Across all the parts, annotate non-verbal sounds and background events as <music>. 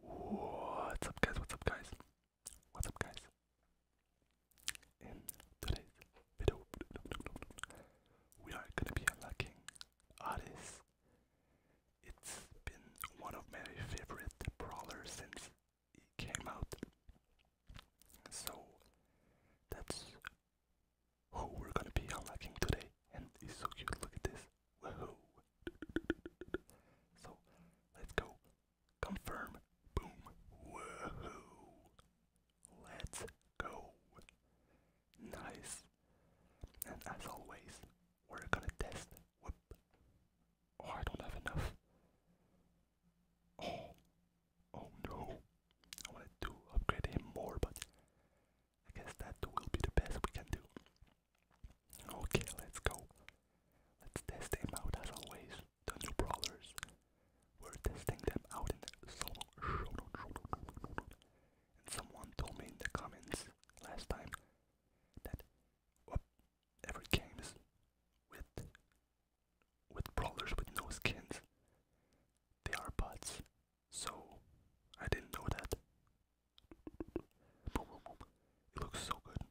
What's up guys, what's up guys, what's up guys? In today's video, we are gonna be unlocking Odyssey. It's been one of my favorite brawlers since he came out. So that's who we're gonna be unlocking today. And he's so cute, look at this. So let's go. Confirm. Boom. Let's go. Nice. And as always, we're gonna test. Whoop. Oh, I don't have enough. Oh. Oh no. I wanted to upgrade him more, but I guess that will be the best we can do. Okay, let's go. Let's test them out as always. The new brawlers. We're testing them out And someone told me in the comments last time that every games with with brawlers with no skins, they are bots. So I didn't know that. It looks so good,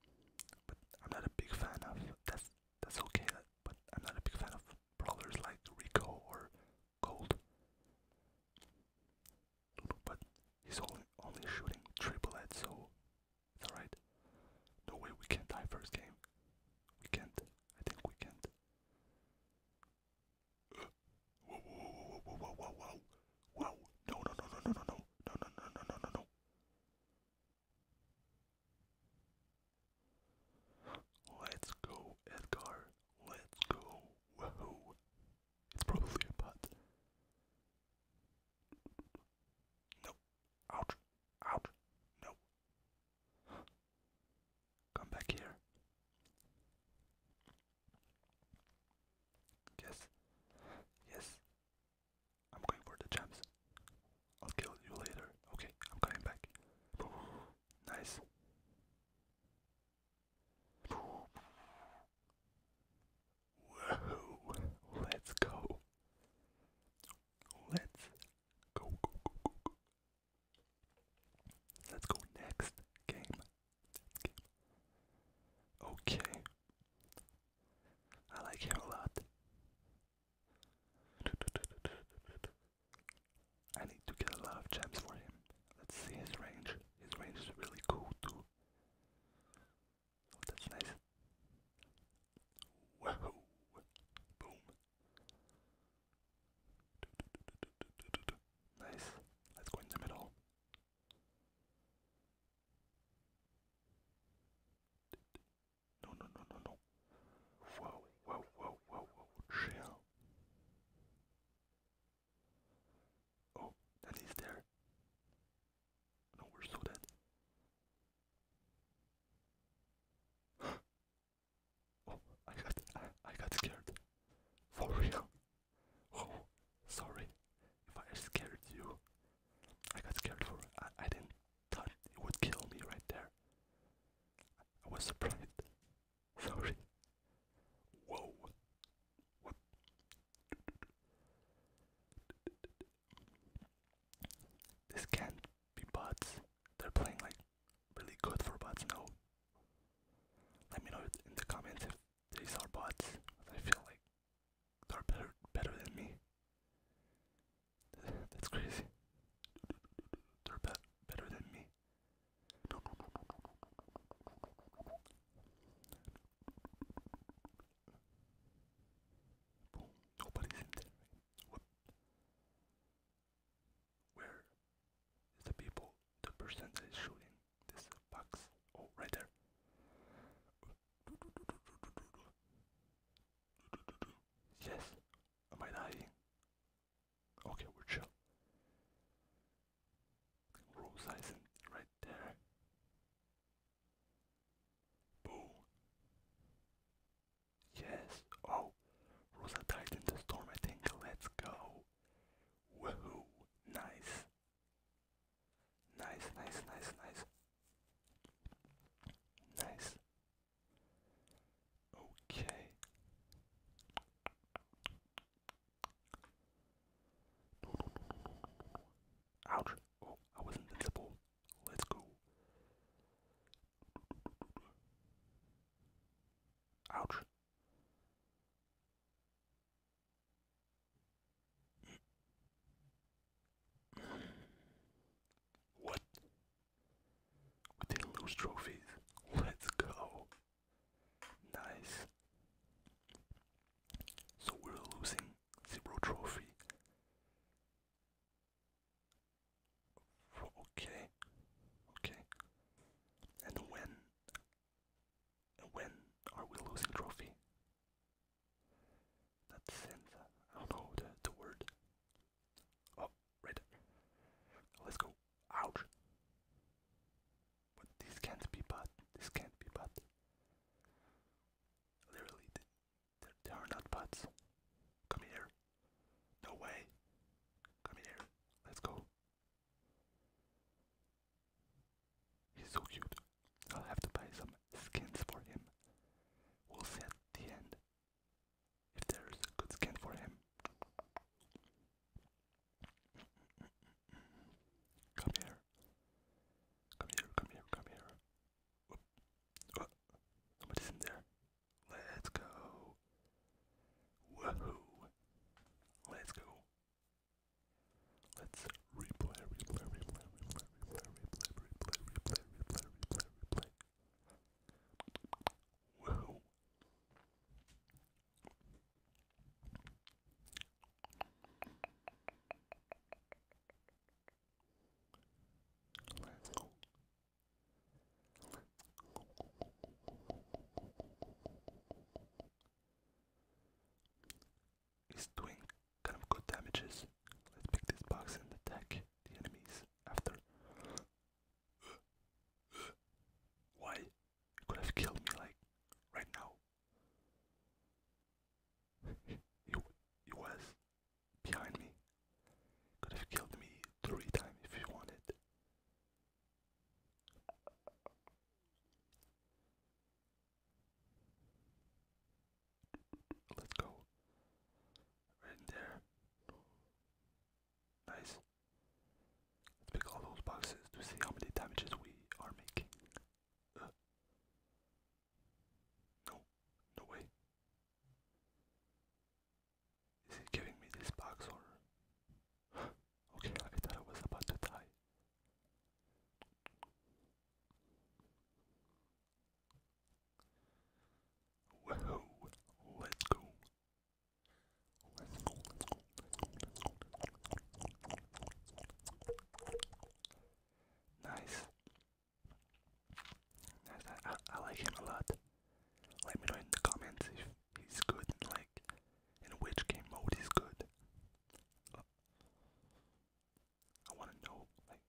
but I'm not a big fan of. That's that's okay, but I'm not a big fan of brawlers like Rico or Gold. But he's only only shooting triple so it's alright. No way we can't die first game. We can't. I think we can't. Whoa, whoa, whoa, whoa, whoa, whoa, whoa. No, no, no, no, no, no, no, no, no, no, no, no, no. Let's go, Edgar. Let's go. Whoa. It's probably a butt. No. Ouch. Ouch. No. Come back here. Yes. Yes. I'm going for the gems. I'll kill you later. Okay, I'm coming back. <gasps> nice. Let's go. Let's go, go, go, go, go. Let's go next game. Okay. I like him a lot. I need to get a lot of gems for him. Let's see his range. His range is really cool too. Oh, that's nice. Whoa! Boom. Nice. Let's go in the middle. No, no, no, no, no. Whoa, whoa, whoa, whoa, whoa. Chill. Oh, that is there. No, we're so dead. <gasps> Oh, I got, I, got scared. For real. Oh, sorry if I scared you. I got scared for I, I didn't thought it would kill me right there. I was surprised. <laughs> Sorry. Whoa. What? This can't be bots they're playing like really good for bots No, Let me know in the comments if these are bots. I feel like they're better better than me. <laughs> That's crazy. They're be better than me where the people, the person that is shooting this box. Oh, right there. Yes. Am I dying? Okay, we're chill. Rose Eisen right there. Boom. Yes. Oh, Rosa died in the storm, I think. Let's go. Woohoo. Nice. Nice, nice, nice, nice. Nice. Okay. Ouch. Oh, I was invincible. Let's go. Ouch. What? We didn't lose trophies. Let's go. Nice. So we're losing zero trophy. Okay. Okay. And when when are we losing trophy? That sends I know the, word. Oh, right. Let's go. Ouch. But this can't be bad. This can't be bad. Literally, there are not bots. Come here. No way. Come here. Let's go. He's so cute. I'll have to buy some skins for him. We'll see at the end if there's a good skin for him. Come here. Come here, come here, come here. What? What is in there? Let's go. Woohoo. Let's go. Let's replay, replay, replay, replay, replay, replay, replay, replay, replay, replay, replay. Woohoo. Let's doing kind of good damages. Let's pick this box and attack the enemies after. Why? You could have killed me like right now. he, <laughs> he was behind me. Could have killed me three times if he wanted. Let's go. Right there. Nice. Let's pick all those boxes to see how many damages we are making. Uh. No, no way. Is he giving me this box or? <gasps> okay, I thought I was about to die. Whoa, let's go. Let's go, Nice. Nice. I, like him a lot. Let me know in the comments if he's good like in which game mode he's good. I wanna know like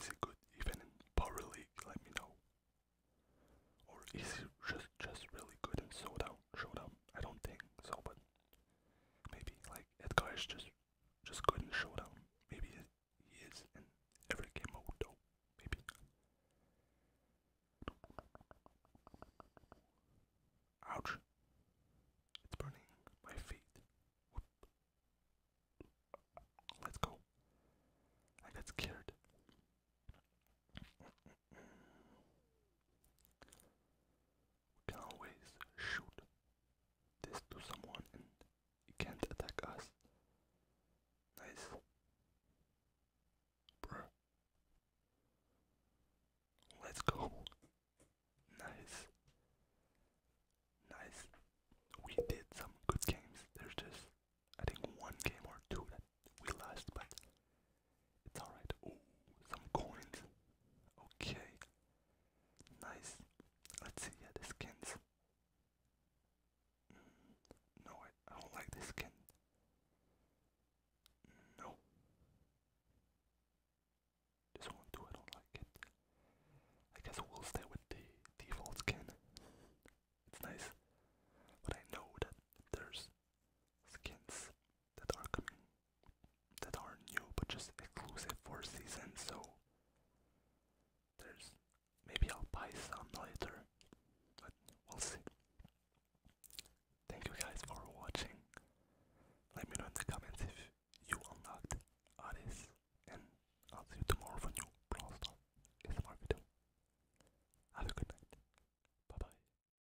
is he good even in Power League? Let me know. Or is he just just really good in Showdown? Showdown? I don't think so, but maybe like Edgar is just just good in showdown. Maybe he is in every game mode Maybe. Ouch. It's burning my feet. Let's go. I got scared. We can always shoot this to someone and he can't attack us. Nice. Bruh. Let's go. Nice. Nice. We did some good games. There's just, I think, one game or two that we lost, but it's alright. Oh, some coins. Okay. Nice. Let's see, yeah, the skins. Mm, no, I, don't like this skin. No. This one too, I don't like it. I guess we'll stay with the default skin. It's nice. But I know that there's skins that are coming that are new but just exclusive for season so there's maybe I'll buy some later but we'll see. Thank you guys for watching. Let me know in the comments if you unlocked Ares and I'll see you tomorrow for new Brawl Stars ASMR video. Have a good night. Bye bye.